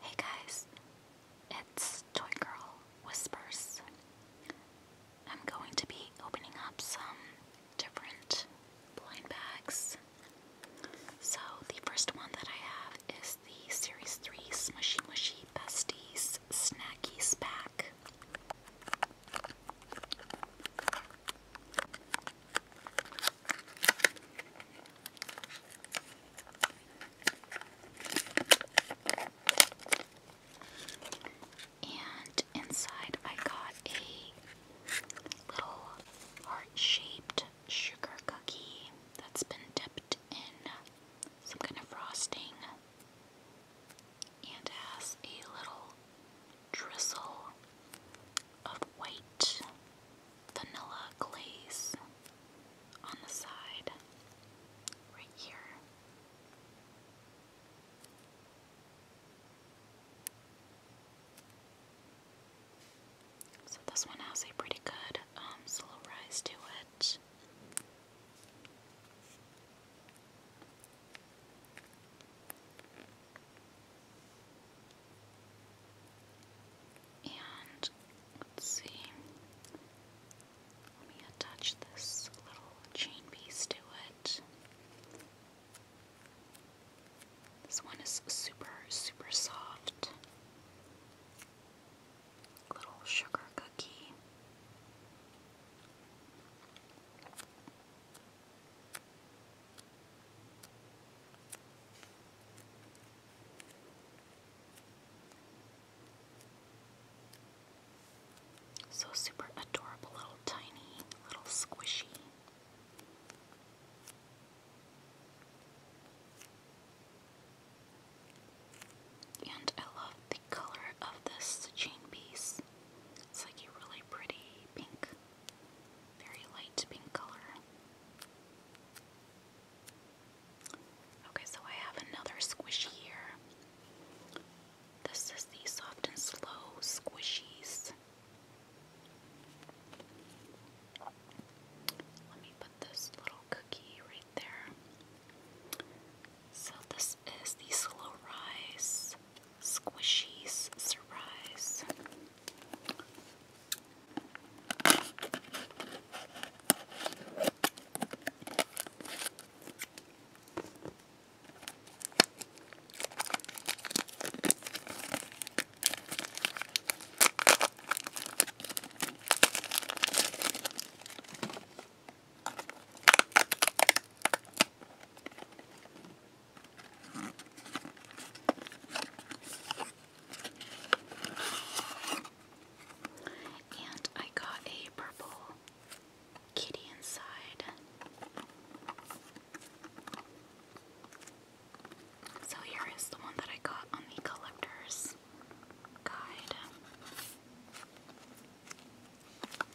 Hey guys, it's Toy Girl Whispers. I'm going to be opening up some different blind bags. So, the first one that I have is the Series 3 Smushy Mushy Besties Snackies Pack. And inside, I got a little heart shaped sugar cookie that's been dipped in some kind of frosting and has a little drizzle of white vanilla glaze on the side, right here. So this one has a pretty good um, to it. And let's see. Let me attach this little chain piece to it. This one is super, super soft. Little sugar cookie. So super adorable, little tiny, little squishy. And I love the color of this chain piece. It's like a really pretty pink very light pink color. Okay, so I have another squishy here. This is the soft and slow squishies. Let me put this little cookie right there. So, this is the slow rise squishy surprise. And I got a purple kitty inside. So here is the one that I got on the collector's guide.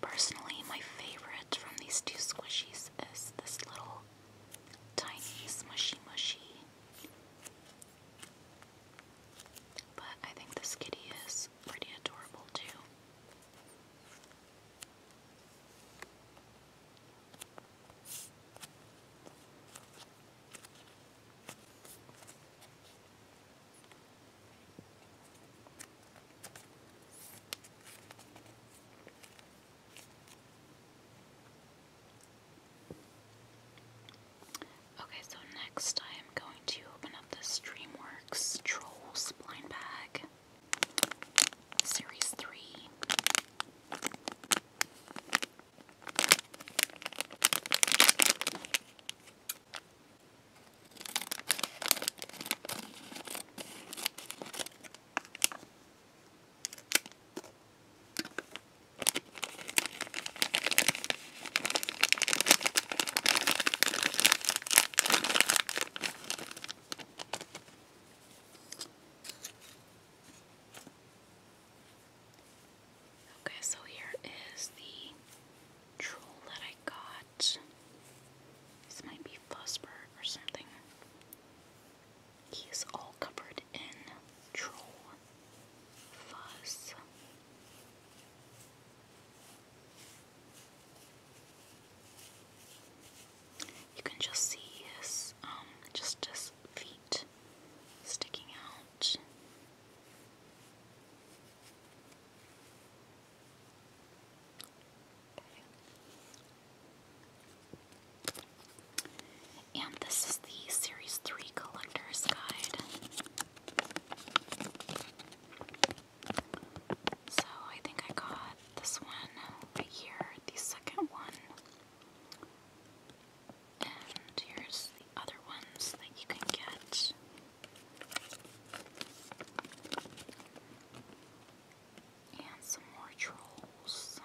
Personally, my favorite from these two squishies is this little tiny smushy mushy. But I think this kitty is pretty adorable too. Okay, so next I am going to open up this DreamWorks Trolls blind bag, Series 3. Okay, so here is the troll that I got what? This might be Fuzzbird or something. He all covered in troll fuzz. You can just see his, um, just his feet sticking out. And this is the Series 3 Collector's Guide. So I think I got this one right here, the second one. And here's the other ones that you can get. And some more trolls.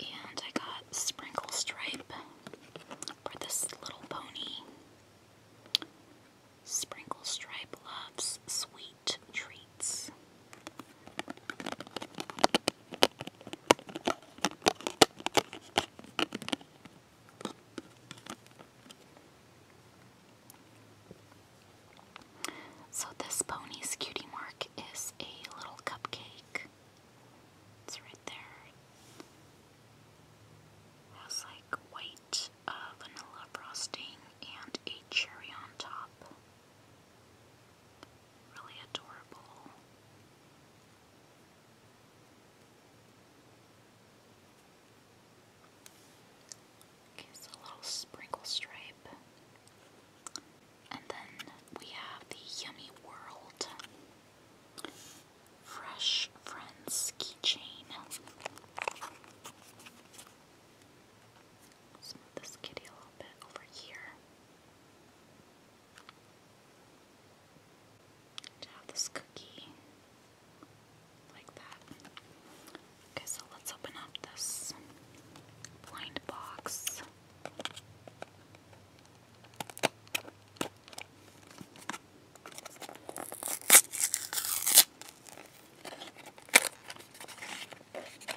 And I got Sprinkle Stripe for this little pony. Sprinkle Stripe loves sweet treats. So, this pony's cutie mark is a little cupcake. It's right there. It has like white uh, vanilla frosting and a cherry on top. Really adorable. Okay, a little sprinkle stripe. And then we have the Yummy World Fresh Friends keychain smooth this kitty a little bit over here. have this cookie like that. Okay, so let's open up this blind box.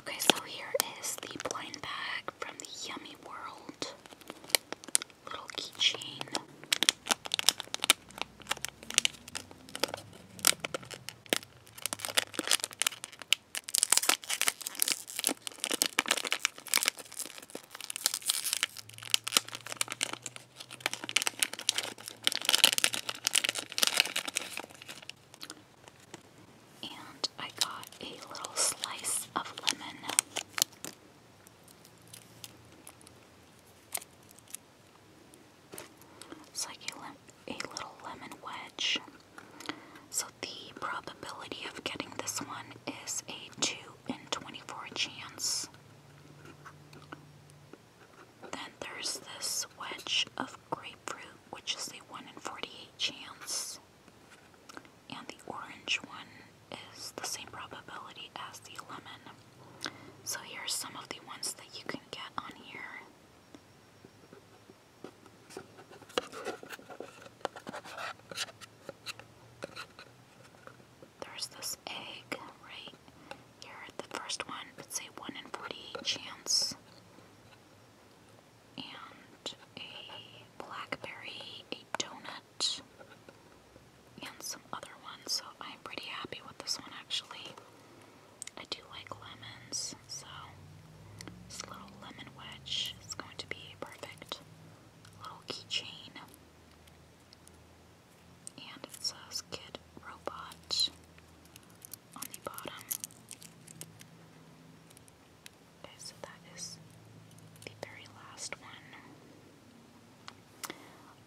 Okay, so here is the blind bag from the Yummy World. Little keychain. And I got a little slice of lemon. like a little lemon wedge. So the probability of getting this one is a 2 in 24 chance. Then there's this wedge of grapefruit, which is a 1 in 48 chance. And the orange one is the same probability as the lemon. So here's some of the ones that you can get on here. There's this egg right here. at The first one, it's a 1 in 48 chance. And a blackberry, a donut, and some other ones. So I'm pretty happy with this one actually. I do like lemons, so this little lemon wedge is going to be a perfect. Little keychain and it says Kid Robot on the bottom. Okay, so that is the very last one.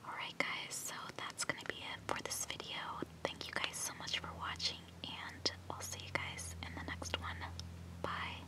Alright, guys, so that's gonna be it for this video. Thank you guys so much for watching, and I'll see you guys in the next one. Bye.